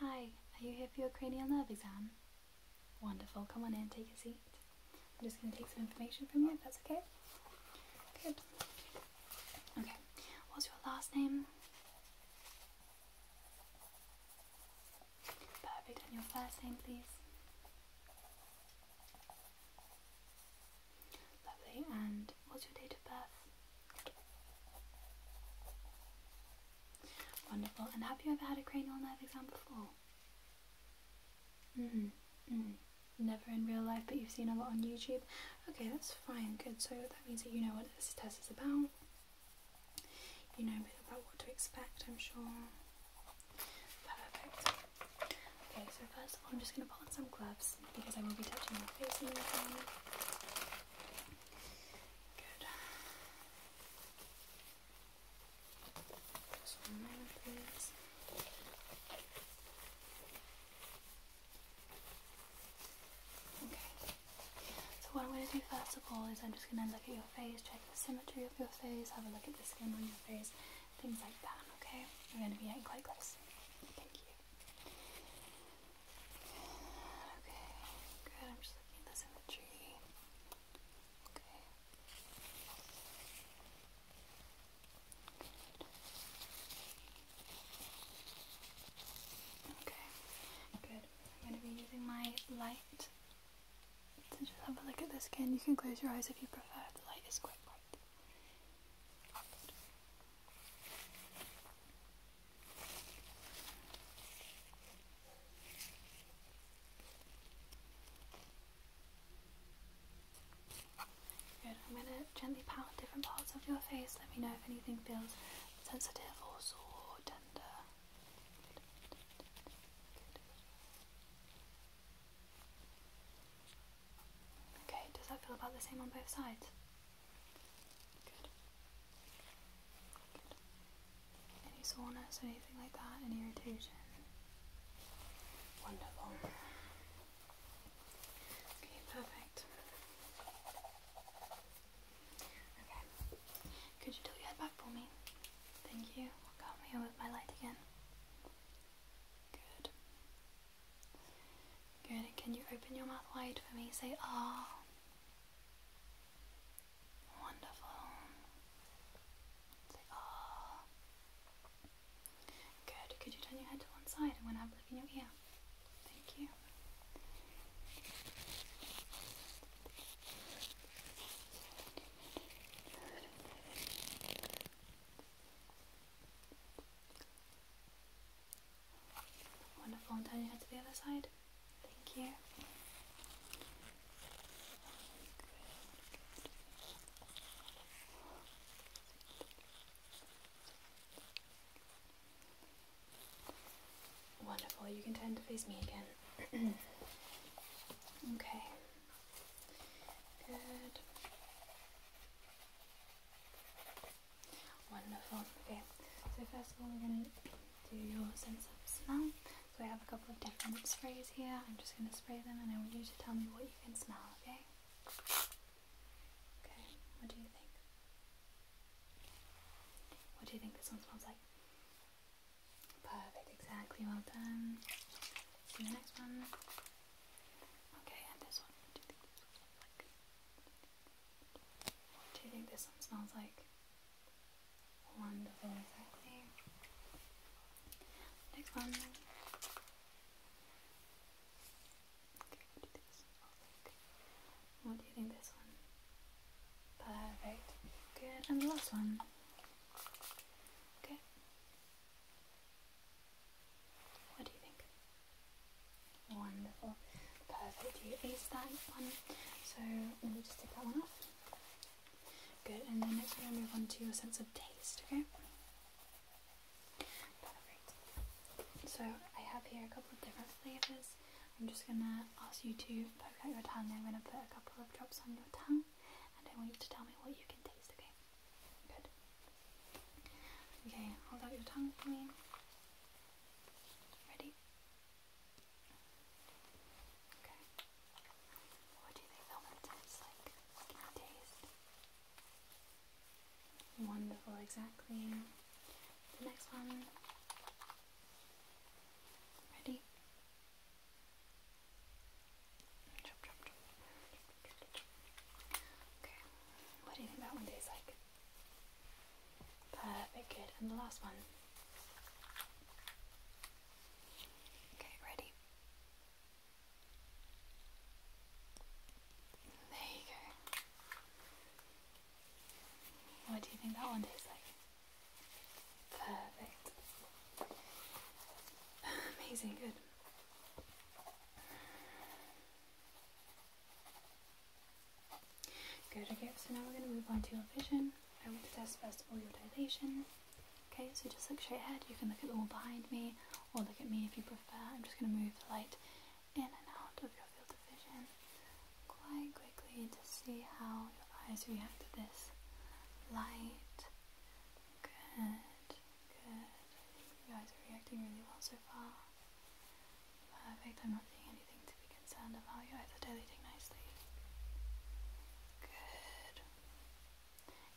Hi, are you here for your cranial nerve exam? Wonderful, come on in, take a seat. I'm just going to take some information from you if that's okay. Good. Okay, what's your last name? Perfect, and your first name, please. Lovely, and what's your date of birth? Wonderful. And have you ever had a cranial nerve exam before? Mm-hmm. Mm-hmm. Never in real life, but you've seen a lot on YouTube. Okay, that's fine. Good. So that means that you know what this test is about. You know a bit about what to expect, I'm sure. Perfect. Okay, so first of all, I'm just going to put on some gloves because I will be touching your face in the Okay. So what I'm going to do first of all is I'm just going to look at your face, check the symmetry of your face, have a look at the skin on your face, things like that. Okay. We're going to be getting quite close. Thank you. Okay, good. I'm just looking at this imagery. Okay. Okay, good. I'm going to be using my light to just have a look at the skin. You can close your eyes if you prefer. The light is quite bright. I'm going to gently pound different parts of your face. Let me know if anything feels sensitive or sore or tender. Okay, does that feel about the same on both sides? Any soreness, anything like that? Any irritation? Wonderful. Okay, perfect. Okay. Could you tilt your head back for me? Thank you. come here with my light again. Good. Good. can you open your mouth wide for me? Say ah. Wonderful. Ah. Good. Could you turn your head to one side? I'm going in your ear. Thank you. Wonderful, and turn your head to the other side. Thank you. Wonderful, you can turn to face me again. okay. Good. Wonderful. Okay, so first of all, we're going to do your sense of smell. So I have a couple of different sprays here. I'm just going to spray them, and I want you to tell me what you can smell. Okay. Okay. What do you think? What do you think this one smells like? Perfect. Exactly. Well done. let the next one. Okay, and this one. What do you think this one smells like? What do you think this one smells like? Wonderful, exactly. Next one. Okay, what do you think this one smells like? Perfect. Good. And the last one. Okay. What do you think? Wonderful. Perfect. You ace that one. So let me just take that one off. Good. And then next we're going to move on to a sense of taste, okay? So I have here a couple of different flavours. I'm just going to ask you to poke out your tongue. I'm going to put a couple of drops on your tongue and I want you to tell me what you can taste, okay? Good. Okay, hold out your tongue for me. Ready? What do you think that one tastes like? What can you taste? Wonderful, exactly. The next one. Ready? Okay. What do you think that one tastes like? Perfect, good. And the last one. Okay, ready? There you go. What do you think that one tastes like? Perfect. Amazing, good. Good, okay, so now we're going to move on to your vision. I want to test first all your dilation. Okay, so just look straight ahead. You can look at the wall behind me or look at me if you prefer. I'm just going to move the light in and out of your field of vision quite quickly to see how your eyes react to this light. Good, good. You guys are reacting really well so far. Perfect, I'm not seeing anything to be concerned about. Your eyes are dilating nicely. Good.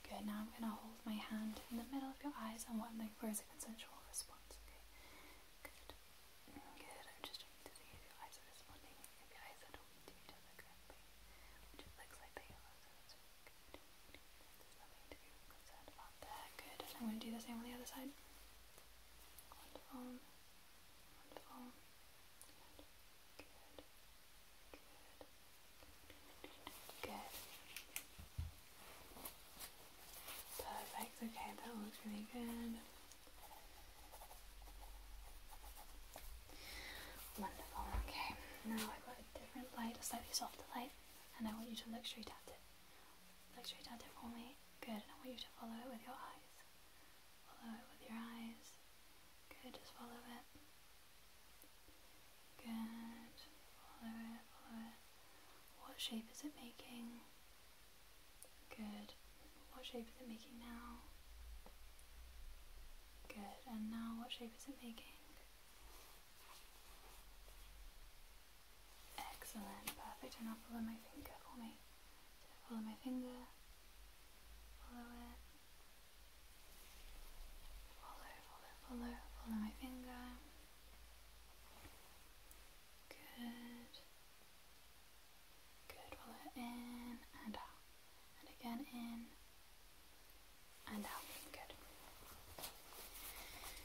Good, now I'm going to hold my hand in the middle of your eyes and what I'm looking for is a consensual response, okay? Good. Good, I'm just checking to see if your eyes are responding, if your eyes are talking to which looks like they are, that's really there, good. I'm going to do the same on the other side. good, Perfect, okay, that looks really good. Wonderful, okay. Now i got a different light, a slightly softer light, and I want you to look it. Look it for me. Good. And I want you to follow it with your eyes. Follow it with your eyes. Good. Just follow it. Good. Follow it. Follow it. What shape is it making? Good. What shape is it making now? Good. And now what shape is it making? Excellent, perfect. And now follow my finger for me. So follow my finger. Follow it. Follow, follow, follow, follow my finger. Good. Good. Follow in and out. And again in and out. Good.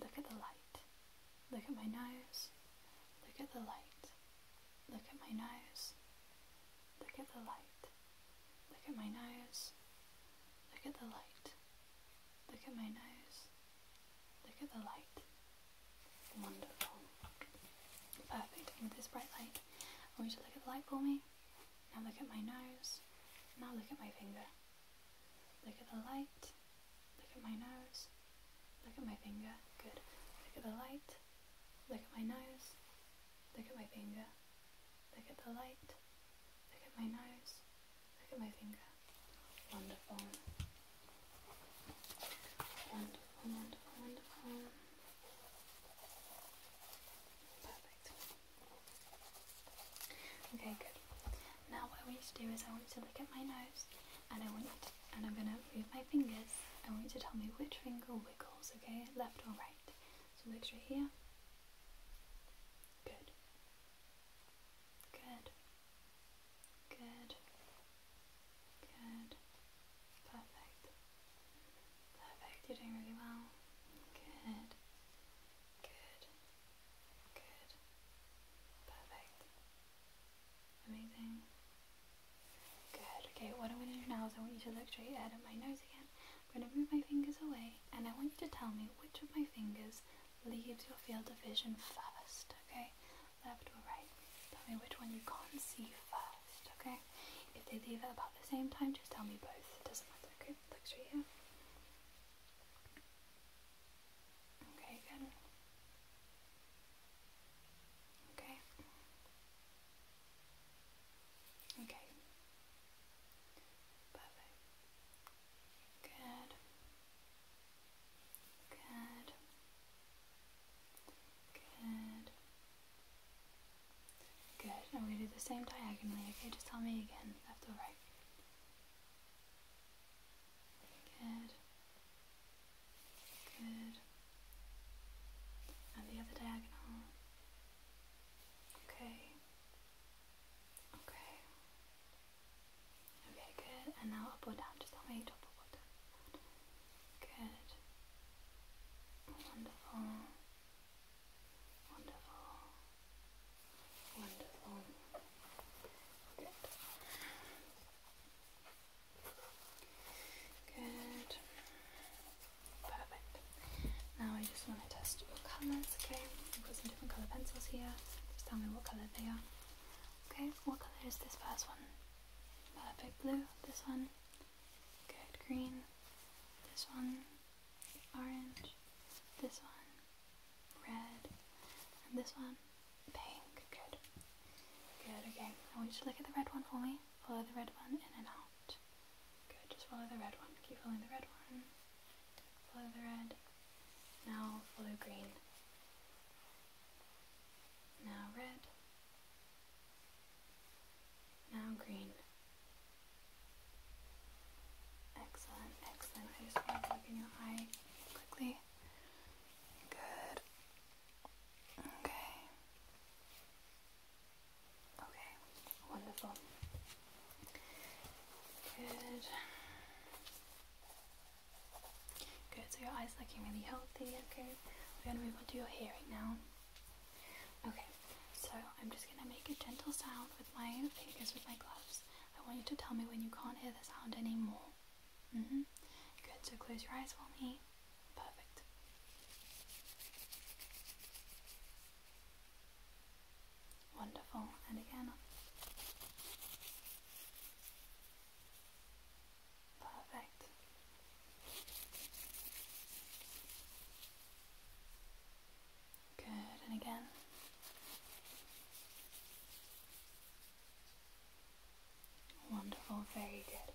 Look at the light. Look at my nose. Look at the light. Look at my nose. Look at the light. Look at my nose. Look at the light. Look at my nose. Look at the light. Wonderful. Perfect. with this bright light, I want you to look at the light for me. Now look at my nose. Now look at my finger. Look at the light. Look at my nose. Look at my finger. Good. Look at the light. Look at my nose. Look at my finger. Look at the light. Look at my nose. Look at my finger. Wonderful. Wonderful, wonderful, wonderful. Perfect. Okay, good. Now what I want you to do is I want you to look at my nose and I want you to, and I'm gonna move my fingers. I want you to tell me which finger wiggles, okay? Left or right. So look right here. Good. Good. Good. Good. Perfect. Perfect. You're doing really well. Good. Good. Good. Perfect. Amazing. Good. Okay, what I'm going to do now is I want you to look straight ahead at my nose again. I'm going to move my fingers away and I want you to tell me which of my fingers leaves your field of vision first, okay? Left or right. Tell me which one you can't see first, okay? If they leave at about the same time, just tell me both. It doesn't matter, okay? Look straight here. Okay, good. Okay. Okay. Perfect. Good. Good. Good. Good. gonna do the same diagonally, okay? Just tell me again, left or right. Good. Good. And the other diagonal. Okay. Okay. Okay, good. And now up or down, just tell me top or bottom. Good. Wonderful. Wonderful. Wonderful. Good. Perfect. Now I just want to test your colours, okay? we have got some different colour pencils here. Just tell me what colour they are. Okay, what colour is this first one? Perfect blue, this one. Good, green, this one orange, this one red, and this one pink. Good. Good, okay. I want you to look at the red one for me. Follow the red one in and out. Good, just follow the red one. Keep following the red one. Follow the red. Now follow green. Now red. Now green. Excellent, excellent. I just want to look in your eye quickly. Good. Okay. Okay, wonderful. Good. Good, so your eye's looking really healthy, okay? We're gonna move on to your hearing now. Okay, so I'm just gonna make a gentle sound with my fingers with my gloves I want you to tell me when you can't hear the sound anymore. Mm-hmm. Good, so close your eyes for me. Perfect. Wonderful, and again. Perfect. Good, and again. Wonderful, very good.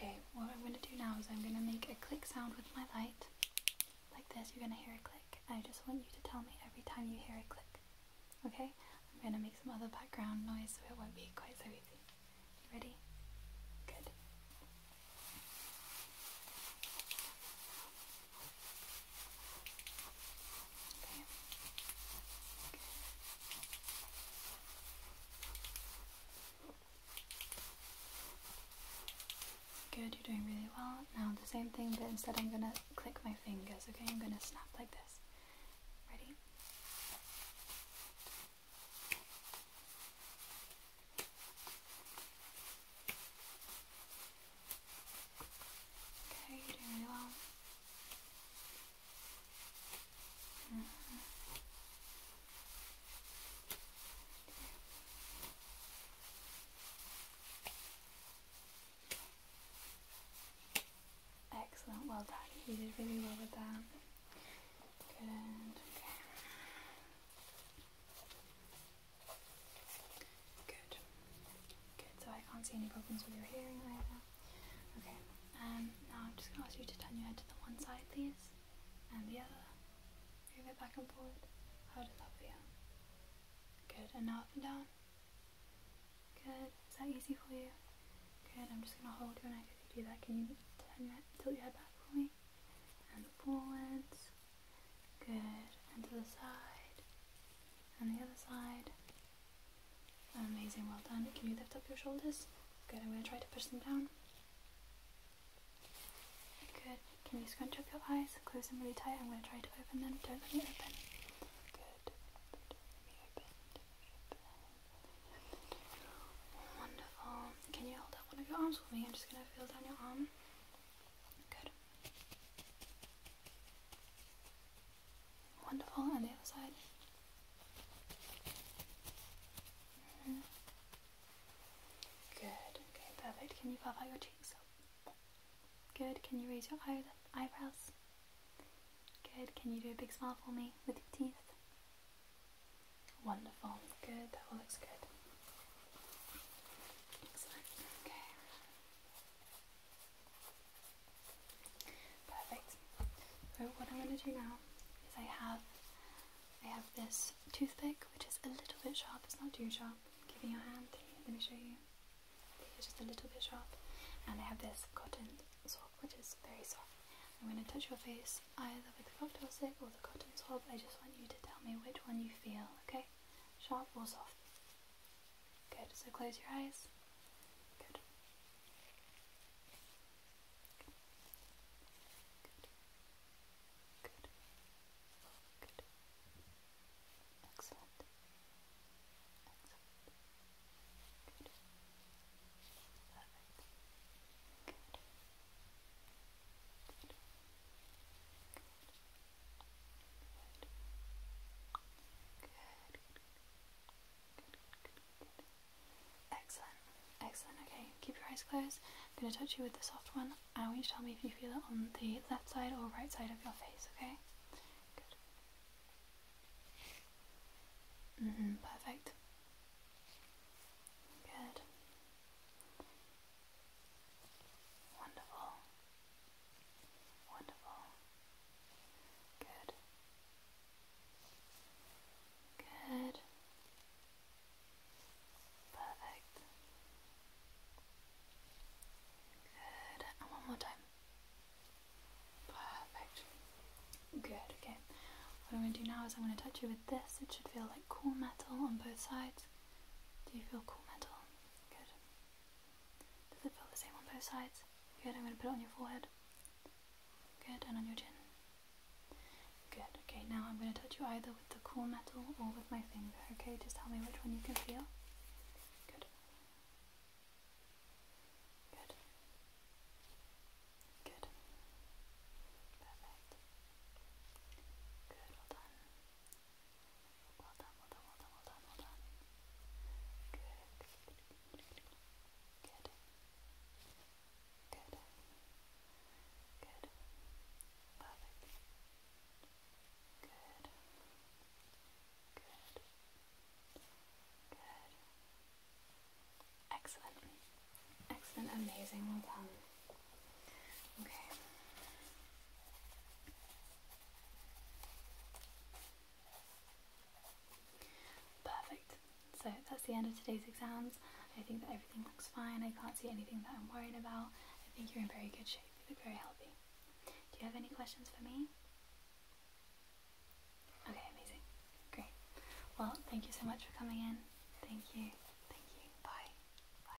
Okay, what I'm going to do now is I'm going to make a click sound with my light. Like this, you're going to hear a click. I just want you to tell me every time you hear a click. Okay? I'm going to make some other background noise so it won't be quite so easy. You ready? Good. Okay. Good, you're doing really well. Now the same thing, but instead I'm gonna click my fingers, okay? I'm gonna snap like this. Ready? Okay, you well. Mm-hmm. Excellent, well done. You did really well with that. Good, Good. Good, so I can't see any problems with your hearing right now. Okay, um, now I'm just going to ask you to turn your head to the one side, please, and the other. Move it back and forward. How does that feel? Good, and up and down. Good, is that easy for you? Good, I'm just going to hold your neck If you do that. Can you turn your, tilt your head back for me? And forwards. Good. And to the side. And the other side. Amazing, well done. Can you lift up your shoulders? Good, I'm going to try to push them down. Good. Can you scrunch up your eyes? Close them really tight. I'm going to try to open them. Don't let me open. Good. Wonderful. Can you hold up one of your arms for me? I'm just going to feel down your arm. Good. Wonderful, on the other side. Mm-hmm. Good, okay, perfect. Can you puff out your cheeks? Good, can you raise your eyebrows? Good, can you do a big smile for me with your teeth? Wonderful, good, that all looks good. Okay. Perfect. So what I'm going to do now is I have I have this toothpick which is a little bit sharp. It's not too sharp. Give me your hand. Let me show you. It's just a little bit sharp. And I have this cotton swab which is very soft. I'm going to touch your face either with the cocktail stick or the cotton swab. I just want you to tell me which one you feel, okay? sharp or soft? Good, so close your eyes. Good. Good. Excellent. Excellent. Good. Good. Excellent, excellent. Okay, keep your eyes closed. I'm going to touch you with the soft one. I want you tell me if you feel it on the left side or right side of your face, okay? perfect. Good. Wonderful. Wonderful. Good. Good. Perfect. Good. one more time. Perfect. Good, okay. What I'm going to do now is I'm going to touch you with this. It should feel like cool metal on both sides. Do you feel cool metal? Good. Does it feel the same on both sides? Good, I'm going to put it on your forehead. Good, and on your chin. Good, okay, now I'm going to touch you either with the cool metal or with my finger, okay? Just tell me which one you can feel. Good. Good. Good. Perfect. Good, well done. Good. Good. Good. Good. Good. Good. Excellent. Excellent, amazing, well done. Perfect. So that's the end of today's exams. I think that everything looks fine. I can't see anything that I'm worried about. I think you're in very good shape. You look very healthy. Do you have any questions for me? Okay, amazing. Great. Well, thank you so much for coming in. Thank you. Thank you. Bye.